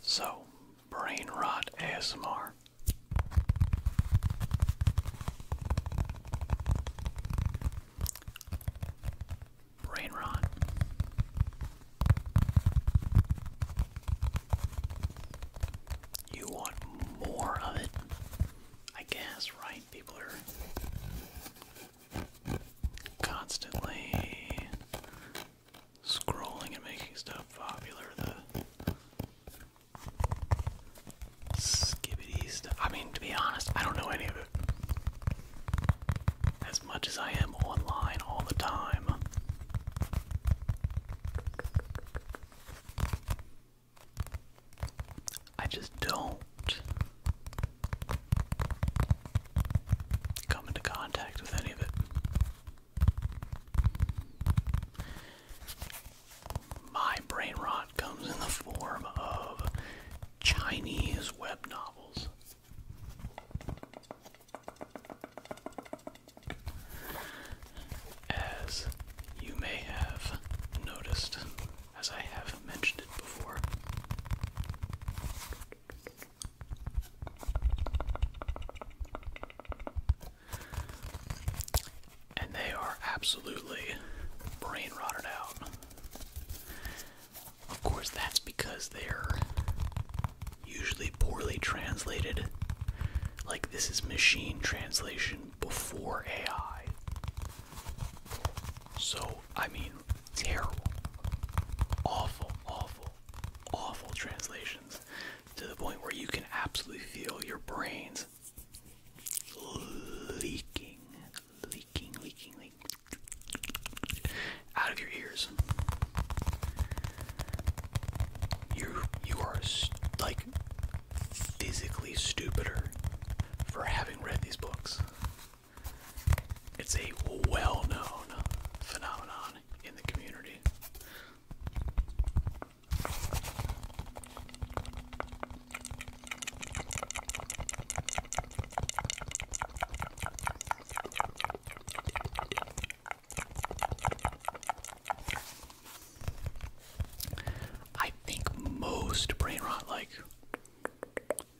So, brain rot ASMR. Brain rot. You want more of it? I guess, right? People are constantly scrolling and making stuff popular, the skibbity stuff. I mean, to be honest, I don't know any of it. As much as I am online all the time. I just don't come into contact with any of it. My brain rot comes in the form of Chinese web novels. As you may have noticed, as I have mentioned it before, and they are absolutely brain rotted out. Of course, that's because they're usually poorly translated. Like, this is machine translation before AI. So, I mean, terrible. Awful, awful awful translations to the point where you can absolutely feel your brains leaking, leaking, leaking, leaking out of your ears. You you are like physically stupider for having read these books. It's a well known phenomenon in the community. I think most brain rot, like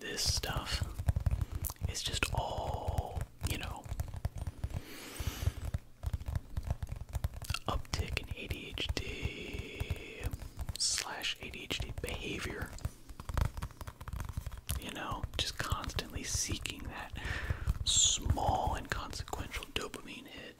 this stuff is just all, you know, uptick in ADHD slash ADHD behavior. You know, just constantly seeking that small and consequential dopamine hit.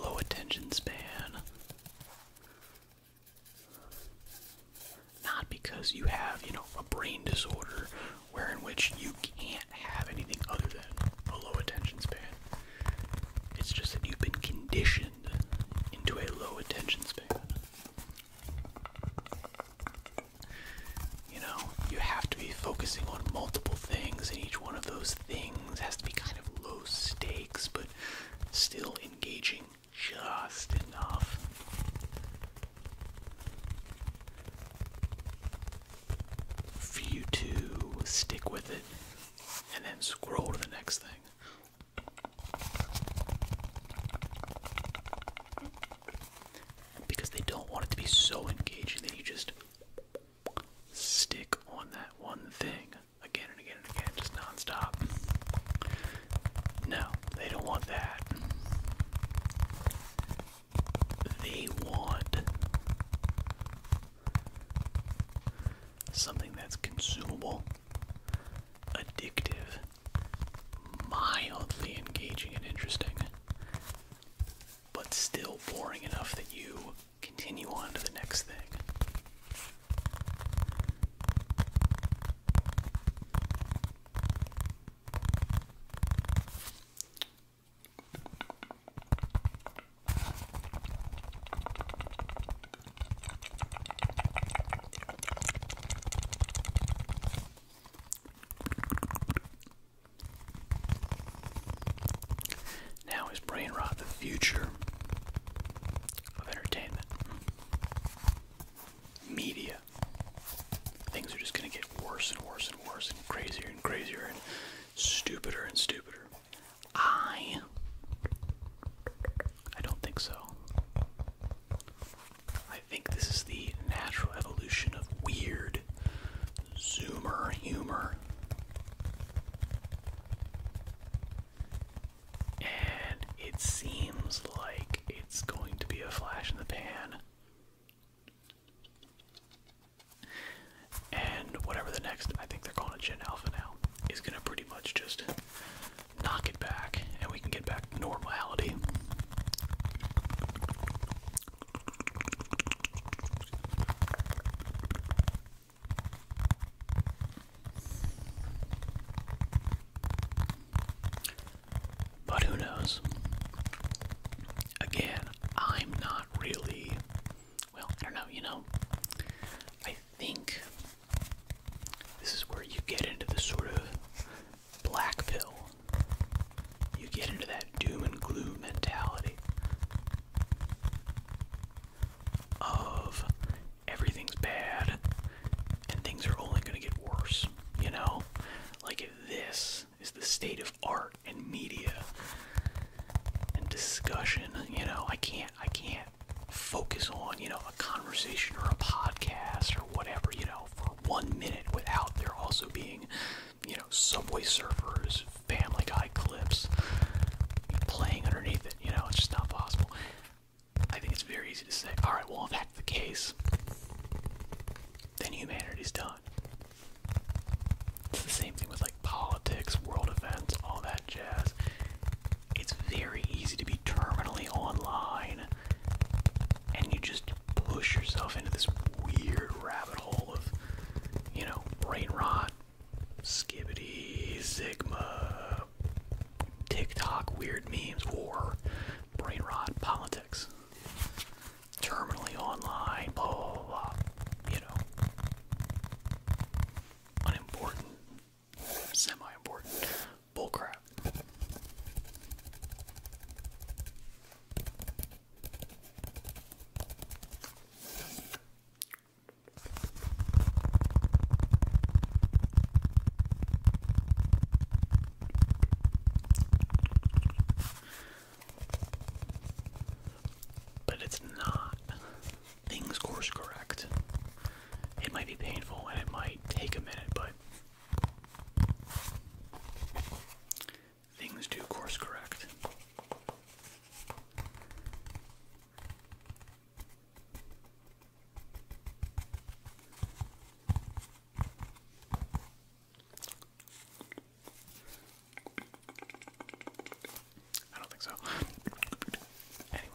Low attention span. Not because you have, you know, a brain disorder where which you can't have anything other than a low attention span. It's just that you've been conditioned into a low attention span. You know, you have to be focusing on multiple things, and each one of those things has to be kind of low stakes, but still engaging just enough. For you to stick with it and then scroll to the next thing because they don't want it to be so engaging that you just stick on that one thing again and again and again, just nonstop. No, they don't want that. They want something that's consumable, addictive, mildly engaging and interesting but still boring enough that you continue on to the next thing. Now is brain rot the future of entertainment? Media. Things are just going to get worse and worse and worse and crazier and crazier and stupider and stupider. I. I don't think so. I think this is the natural evolution of weird zoomer humor. And it seems like it's going to be a flash in the pan. And whatever the next, I think they're calling it Gen Alpha now, is going to pretty much just knock it back and we can get back normality. But who knows? Again, I'm not really. Well, I don't know, you know. I think this is where you get into the sort of black pill, you get into that doom and gloom mentality of everything's bad and things are only going to get worse, you know? Like this is the state of art and media and discussion, you know, I can't I can't focus on, you know, a conversation or a podcast or whatever, you know, one minute without there also being, you know, Subway Surfers, Family Guy clips playing underneath it. You know, it's just not possible. I think it's very easy to say, alright, well, if that's the case, then humanity's done. It's the same thing with like politics, world events, all that jazz. It's very easy to be terminally online and you just push yourself into this weird rabbit hole of, you know, brain rot, skibbity, sigma, TikTok weird memes, war, brain rot, politics, terminally online, blah, blah, you know, unimportant, semi-important, Bullcrap. But it's not things course correct. It might be painful and it might take a minute, but Things do course correct. I don't think so. Anyway.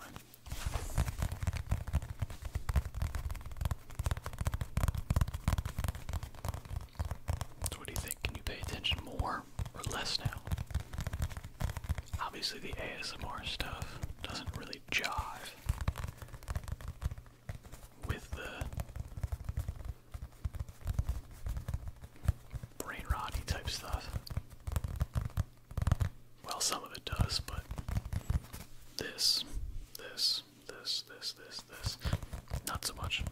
So what do you think? Can you pay attention more or less now? Obviously the ASMR stuff doesn't really jive with the brain rotty type stuff. Well, some of it does, but this, this, this, this, this, this. Not so much.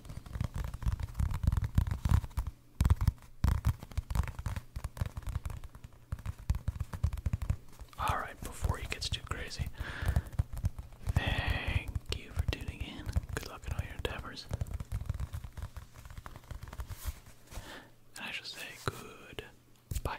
Alright, before he gets too crazy, thank you for tuning in. Good luck in all your endeavors. And I shall say good bye